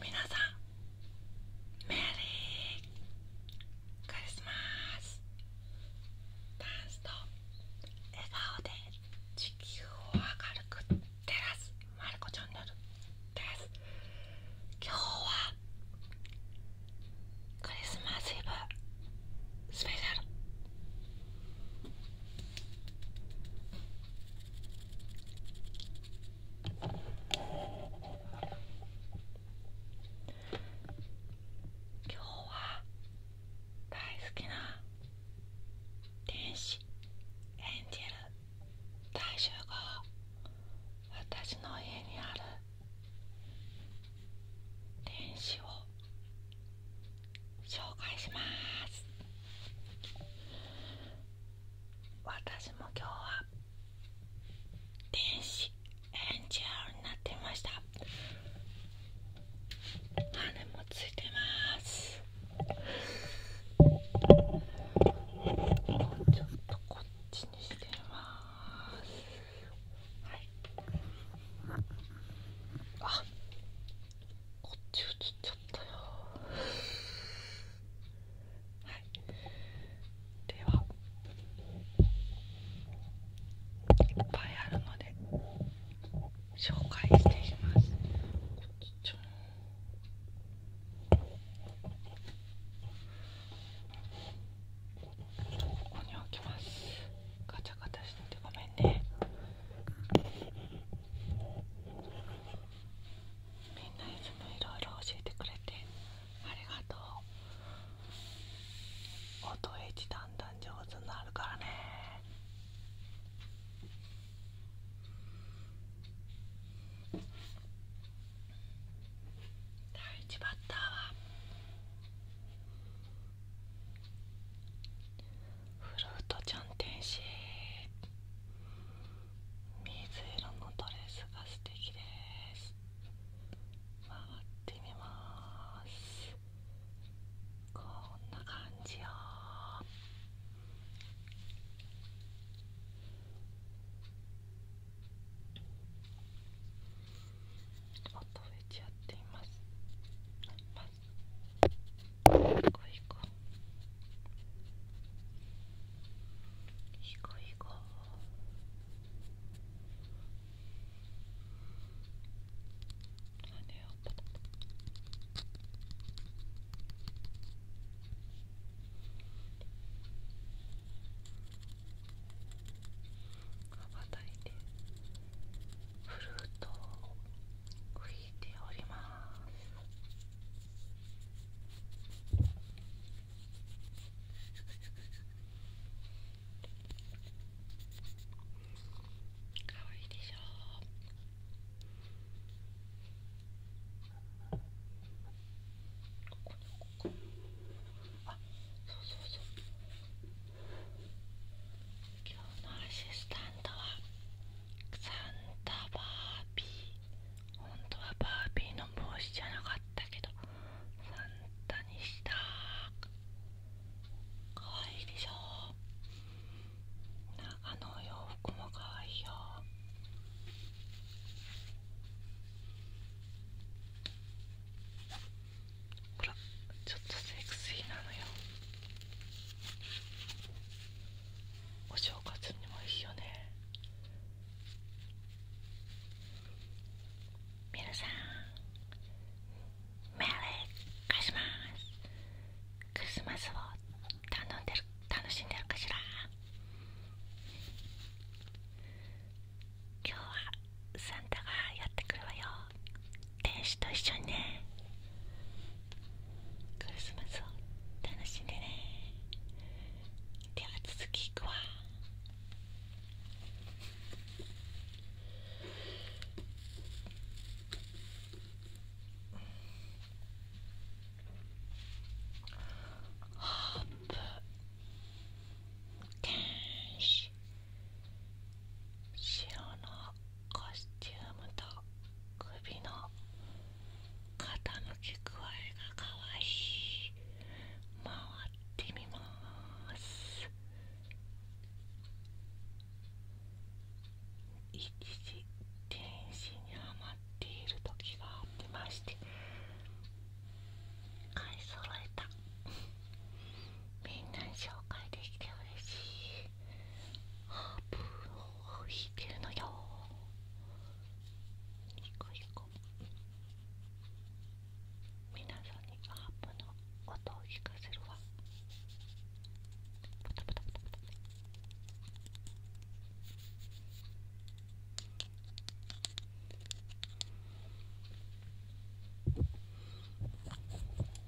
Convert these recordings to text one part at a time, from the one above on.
皆さんメリークリスマスダンスと笑顔で地球を明るく照らすまるこチャンネルです今日はクリスマスイブスペシャル今日は大好きな電子エンジェル大衆が。私の家にある電子を紹介します私も今日は電子エンジェルになってました羽もついてますもうちょっとこっちにしてますはいあこっち映っちゃったよはいではいっぱいあるので紹介していきますこっちちょん。と、ここに置きますガチャガチャしててごめんねみんないつもいろいろ教えてくれてありがとう音エッジだんだん上手になるからね第1バッターはフルートちゃん天使水色のドレスが素敵です回ってみますこんな感じよ音増えちゃっていますいこいこいこ羽をパタパタ羽ばたいてフルートをいてかわいいでしょこあそうそうそう今日のアシスタントはサンタバービー本当はバービーの帽子じゃなかったけどサンタにしたかわいいでしょあのお洋服もかわいいよほらちょっとセクシーなのよお正月にもいいよねみなさんメリークしま。マクリスマスを頼んでる楽しんでるかしら今日はサンタがやってくるわよ天使と一緒にねクリスマスを楽しんでねでは続きいくわハープ天使白のコスチュームと首の傾き具合がかわいい回ってみます一時天使にハマっている時がありまして買い揃えたみんなに紹介できて嬉しいハープをいけるのよいさんにアップの音を聞かせるわパタパタパタパタ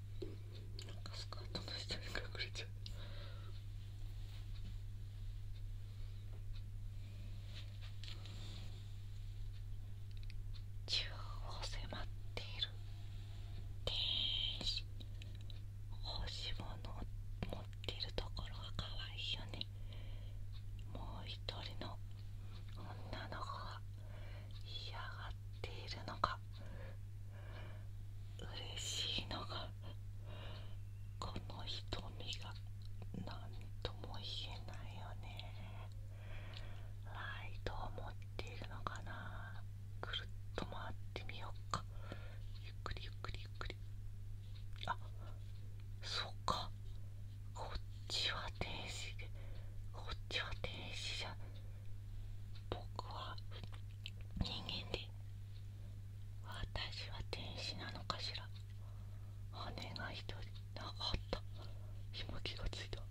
なんかスカートの下に隠れちゃう中央を迫っている天使欲しいのを持っているところが可愛いよねもう一人の女の子が嫌がっているのか嬉しいのがこの瞳が何とも言えないよねライトを持っているのかなくるっと回ってみようかゆっくりゆっくりゆっくりあそっかこっちは天使でこっちは天使じゃ僕は人間で私は天使なのかしら姉が一人あかったひもきがついたか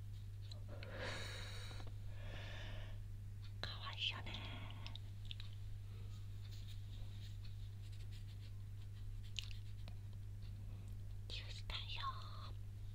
わいいよねジュースだよ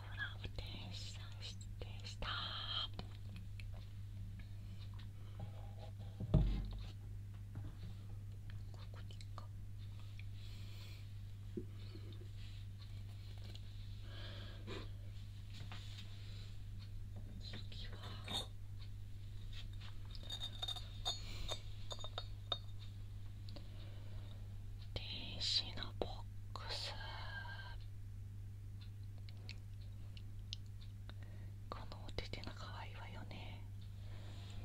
ほら天使さん失礼したここにかは天使のボックスこのお手手が可愛いわよね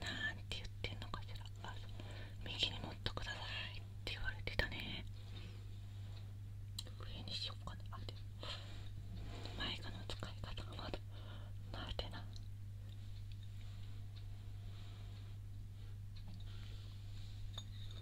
なんて言ってんのかしらあ右に持っとくださいって言われてたね上にしようかなあで前かの使い方がまだ慣れてない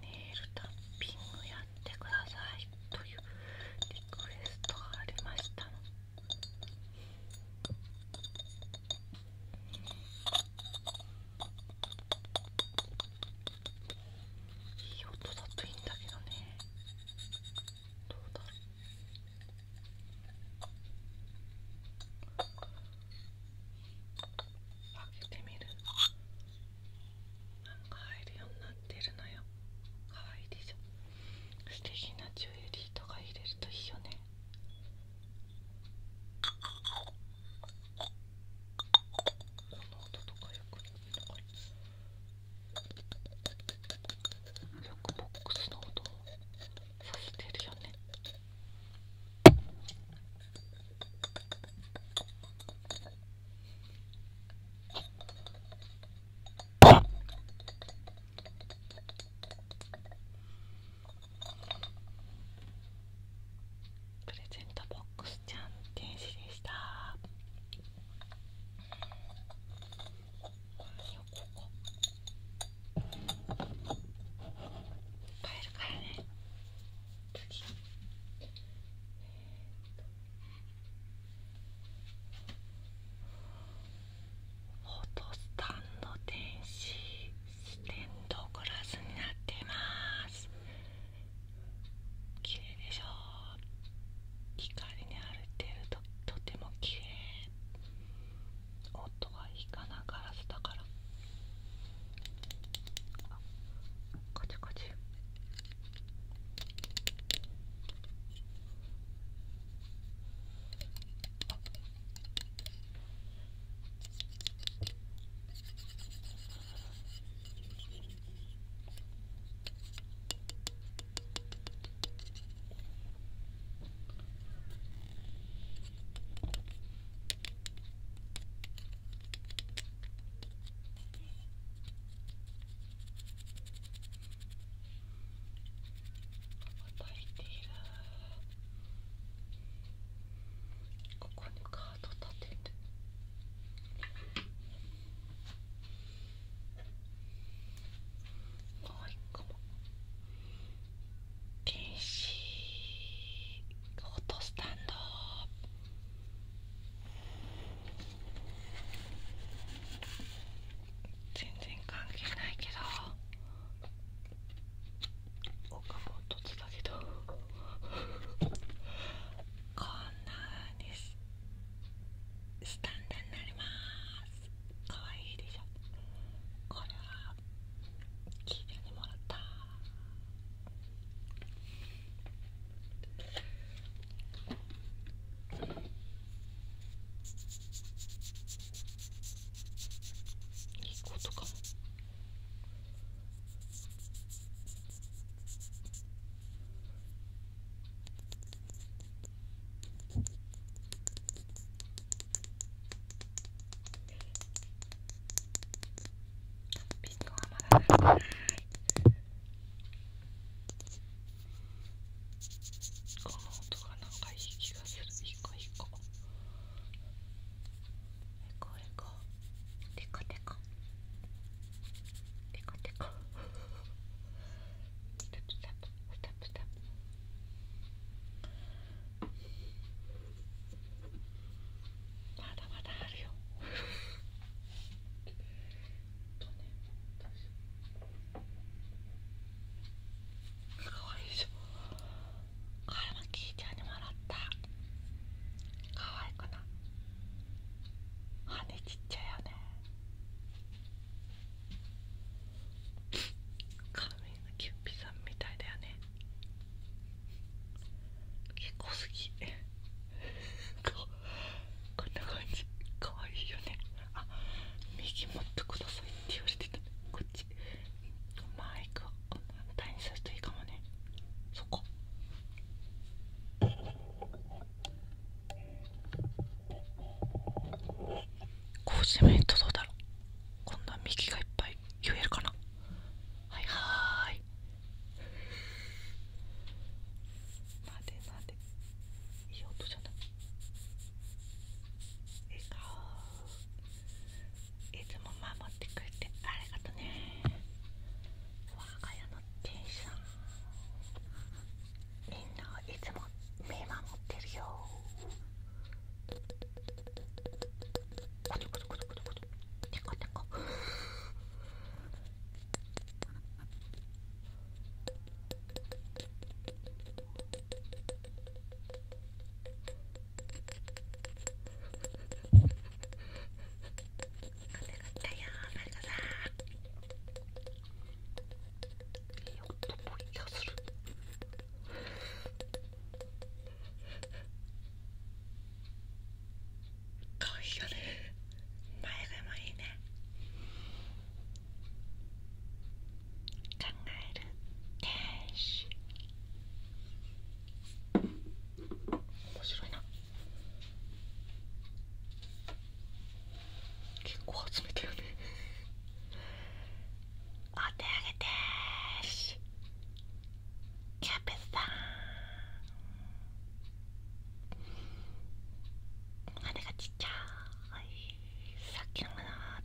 ネイルタッピングやってくださいというリクエストがありましたのいい音だといいんだけどねどうだろう開けてみるなんか入るようになってるのよかわいいでしょ素敵なジュエリーとか入れるといいよねこの音とかよくないのよくボックスの音もさせてるよねプレゼントボックスちゃん天使でした何よここ買るからね次えっとフォトスタンド電子ステンドグラスになっています綺麗でしょ光にあるてるととても綺麗音がいいかなガラスだからこっちあカチカチここにカード立てて。もう一個も電子ホットスタンド全然関係ないけどおかもとつだけどこんな風にスタンドになりますかわいいでしょこれは聞いてもらったいいことかも。ピストはまだないこの音がなんかいい気がするいいこいいこえこえこテカテカテカテカスタップスタップスタップスタップまだまだあるよとねかわいいでしょこれもキーちゃんにもらったかわいくな羽ちっちゃいよね髪のキュッピさんみたいだよね結構好きこんな感じかわいいよねあ右持ってくださいって言われてたこっちマイクを反対にさすといいかもねそここうしてみとどうだろうこんな右がいっぱい言えるかなはいはい待て待ていい音じゃない笑顔いつも守ってくれてありがとね我が家の天使さんみんなをいつも見守ってるよコトコトコトコトコトテコテコ風が来たよーマリカさんいい音もいい気がする可愛い前でもいいね考える天使面白いな結構集めてるねお手上げでーすキャベツさん羽がちっちゃいさっきの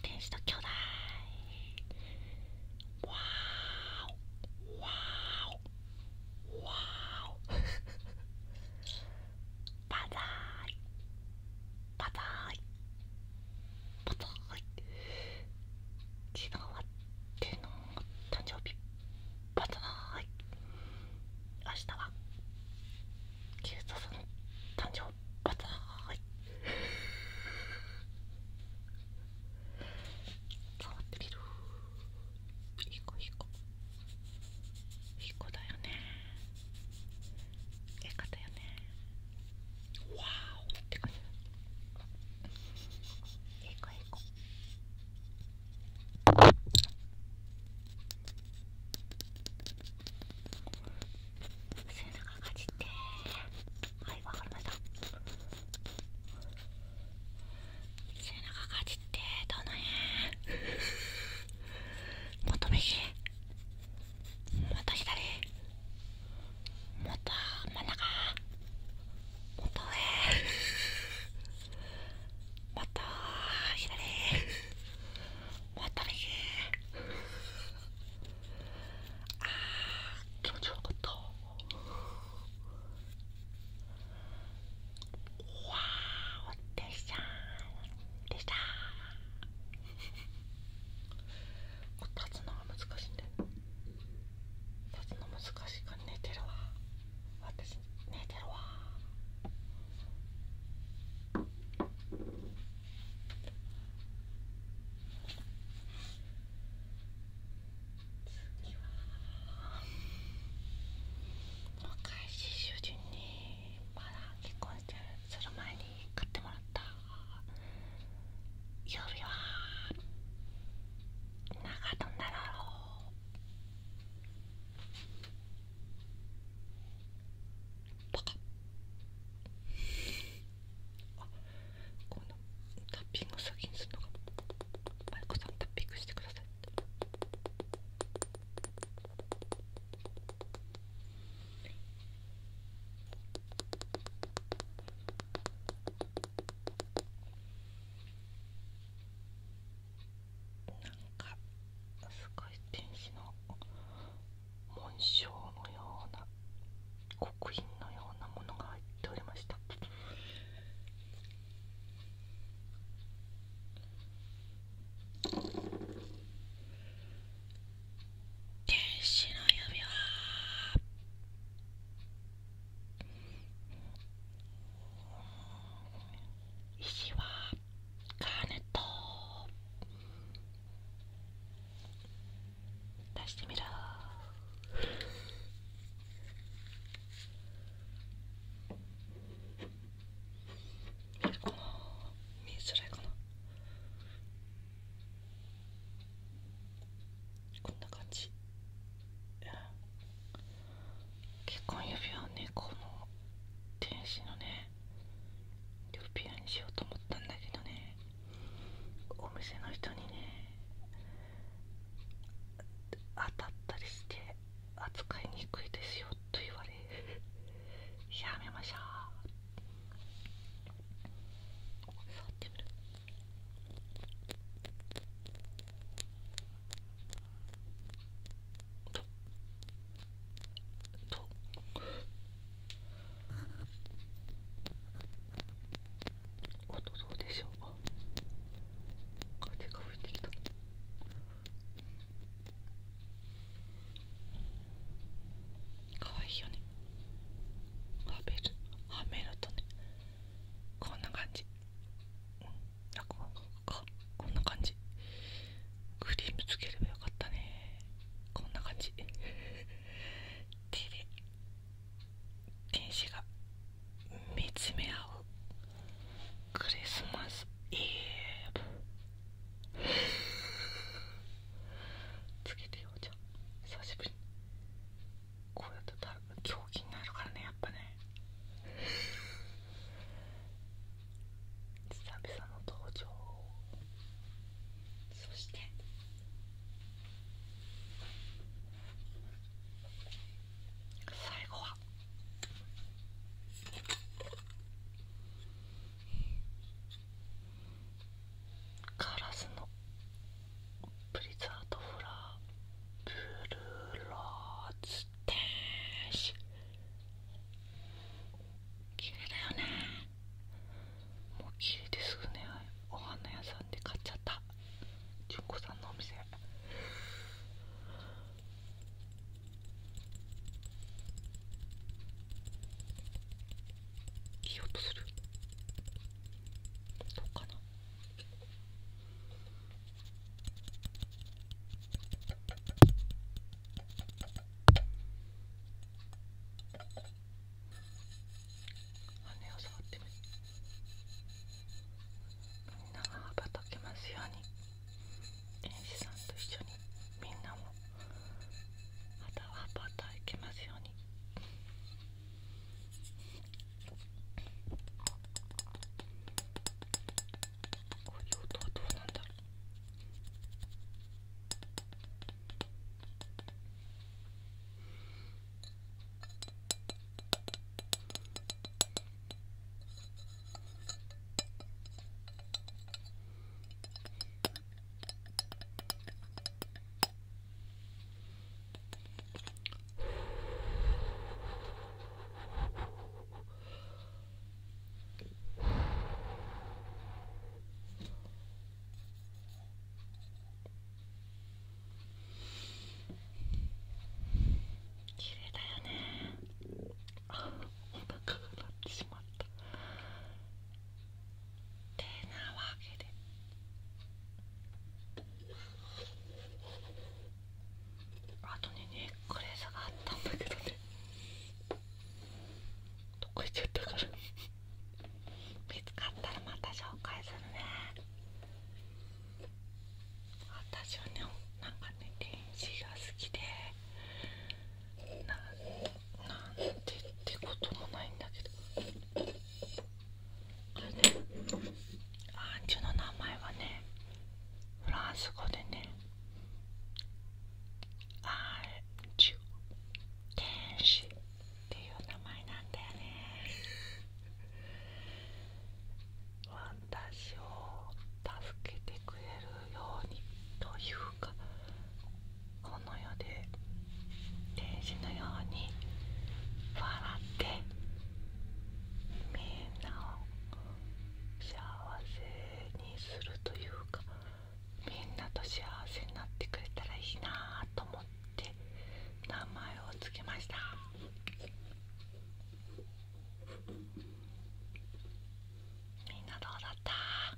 天使と兄弟わーおわーおわバザイバザイパパはい昨日は天皇誕生日パパはい明日はキュのトさん誕生パパはいわってみるいい子いい子いい子だよねやり方よねわーおって感じえいこえいこ背中かじってはいわかりました背中かじってどまた左もっと真ん中もっと上もっと左もっと右あー気持ちよかったわーおっでしたでした立つのが難しいんだよ立つの難しいから寝てるわ私寝てるわ次は若いし主人にまだ結婚してする前に買ってもらった曜日は長野なろうバカこのタッピング先にするのか。マイコさんタッピングしてくださいかすごい天使の紋章のような刻印のようなものが入っておりました。天使の指輪石はカーネット出してみろ見づらいかなこんな感じ結婚指輪をねこの天使のね指輪にしようと思ったんだけどねお店の人にね当たったりして扱いにくいですよと言われ やめましょう触ってみるととあとどうでしょう風が吹いてきた。かわいいよねはめるはめるとねこんな感じうんあここんな感じクリームつければよかったねこんな感じ手で電子が見つめ合うクリスマスイブつけてようじゃん久しぶりこうやってた狂気になるからねやっぱね久々の登場そして最後はカラスのプリザートフラーブルーローズ天使綺麗だよねもう綺麗ですよねお花屋さんで買っちゃった純子さんのお店いい音するどうかな羽を触ってみんなが羽ばたけますように園児さんと一緒にみんなもまたはパターいきますように。こういう音はどうなんだろう綺麗だよねあっお腹が鳴ってしまったってなわけであとねネックレスがあったんだけどねどこ行っちゃったから見つかったらまた紹介するね私はねなんかね電子が好きでななんてってこともないんだけどアンジュの名前はねフランス語でねアンジュ天使っていう名前なんだよね私を助けてくれるようにというかこの世で天使のように笑ってみんなを幸せにするというかみんなと幸せになってくれたらいいなと思って名前を付けました。みんなどうだった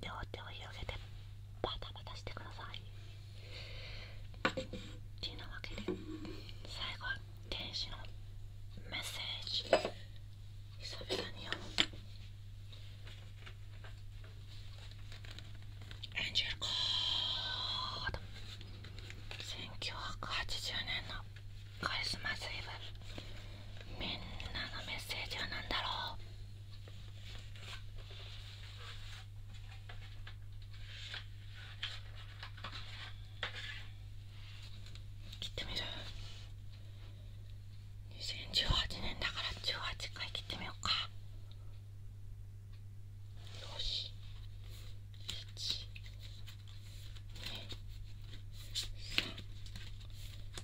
両手を広げてバタバタしてくださいというわけで最後は天使のメッセージ久々に読むエンジェルコード1980年のクリスマスイブみんなのメッセージは何だろう切ってみる2018年だから18回切ってみようかよし1 2 3 4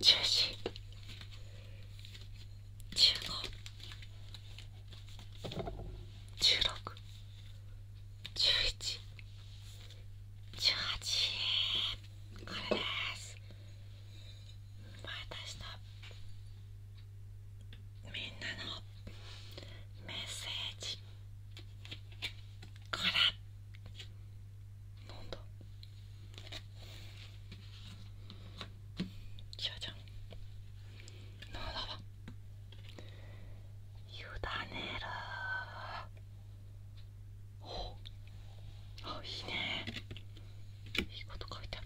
十四十五十六十一十これです私のみんなのメッセージこれなんだじゃじゃんなんだわ委ねるおあいいねいいこと書いてあ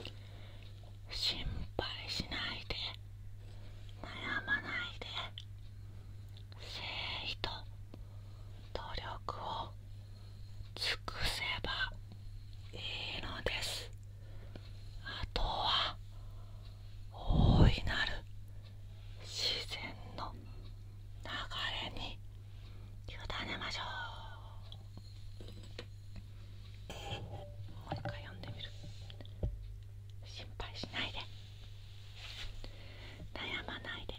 る心配しないで悩まないで誠意と努力を尽くせばいいのですあとは大いなる自然の流れに委ねましょうもう一回読んでみる心配しないで悩まないで誠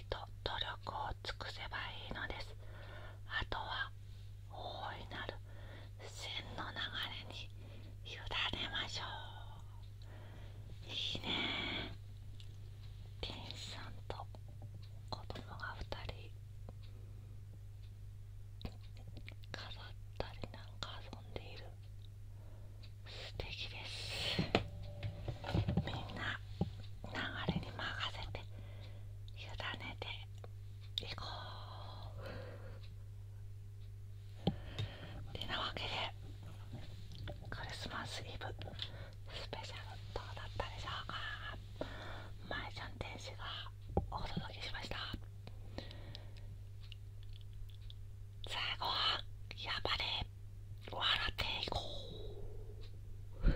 意と努力を尽くせばいいのですあとは大いなる線の流れに委ねましょういいねティンさんと子供が2人飾ったりなんか遊んでいる素敵ですみんな流れに任せて委ねていこうてなわけでクリスマスイブスペシャルどうだったでしょうかまえちゃん天使がお届けしました最後はやばれ。笑っていこう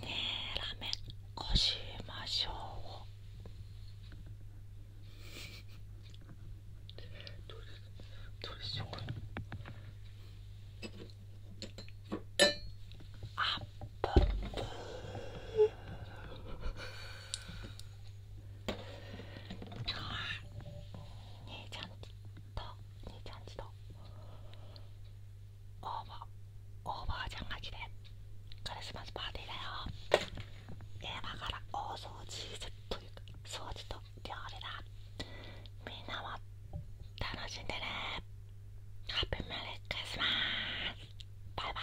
ねえらめっこしましょうどうどうしよ兄ちゃんちと兄ちゃんちとおばおばあちゃんが来てクリスマスパーティーだよ今から大掃除というか掃除と料理だみんなも楽しんでねハッピーメリークスマスバイバイ